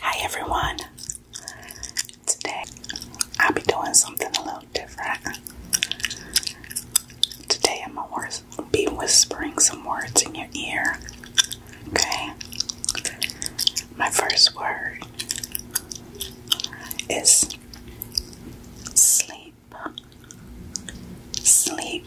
Hi everyone! Today I'll be doing something a little different. Today I'm gonna be whispering some words in your ear. Okay? My first word is sleep. Sleep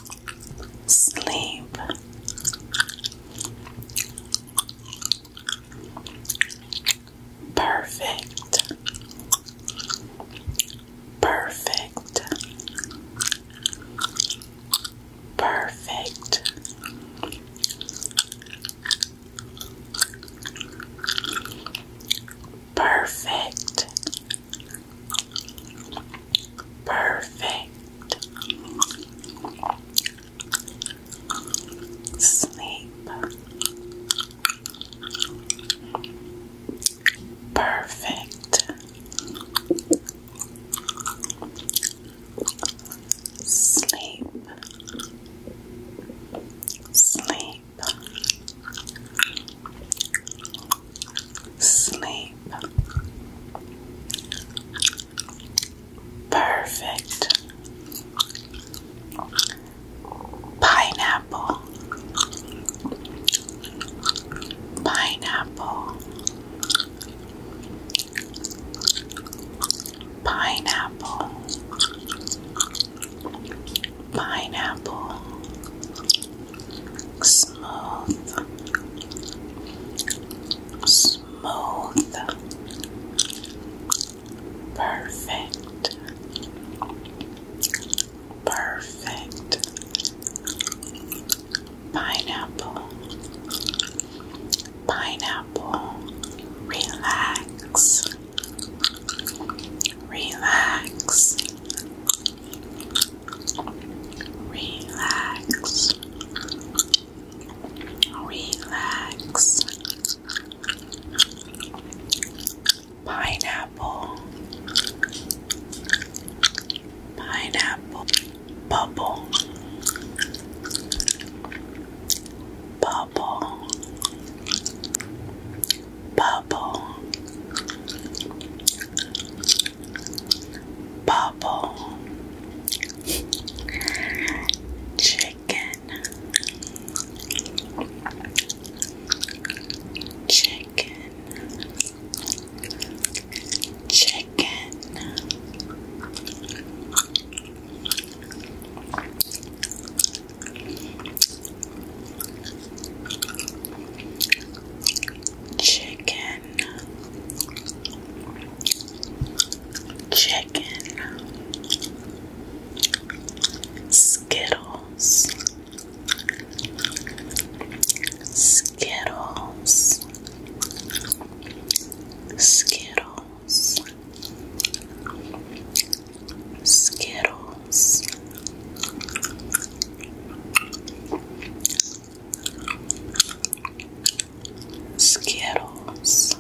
sleep. Perfect. Perfect. Perfect. Perfect. Perfect. Sleep. Perfect. Sleep. Sleep sleep. Perfect. Pineapple. Pineapple. Pineapple pineapple, smooth, smooth, perfect, perfect, pineapple, pineapple, relax. Relax, Relax. Relax. Pineapple. Pineapple. Bubble. Bubble bubble, bubble, chicken, chicken, chicken. Chicken, chicken, Skittles, Skittles, Skittles, Skittles. Skittles.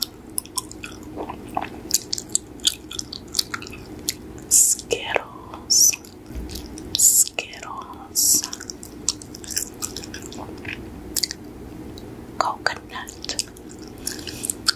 Skittles. Skittles. Coconut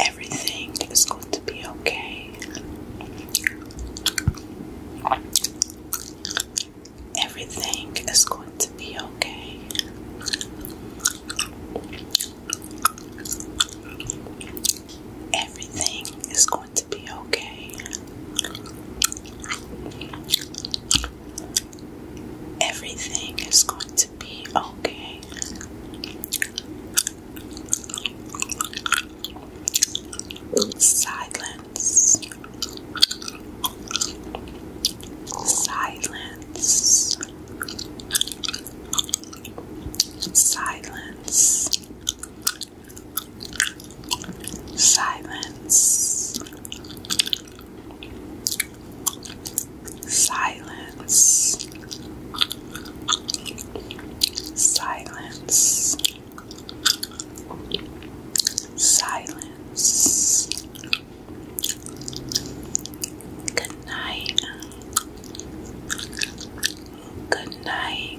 Everything is going to be okay. Everything is going to be okay. Everything is going to be okay everything is going to be okay. Silence. Silence. Silence. Silence. Silence. Silence. Silence. Good night. Good night.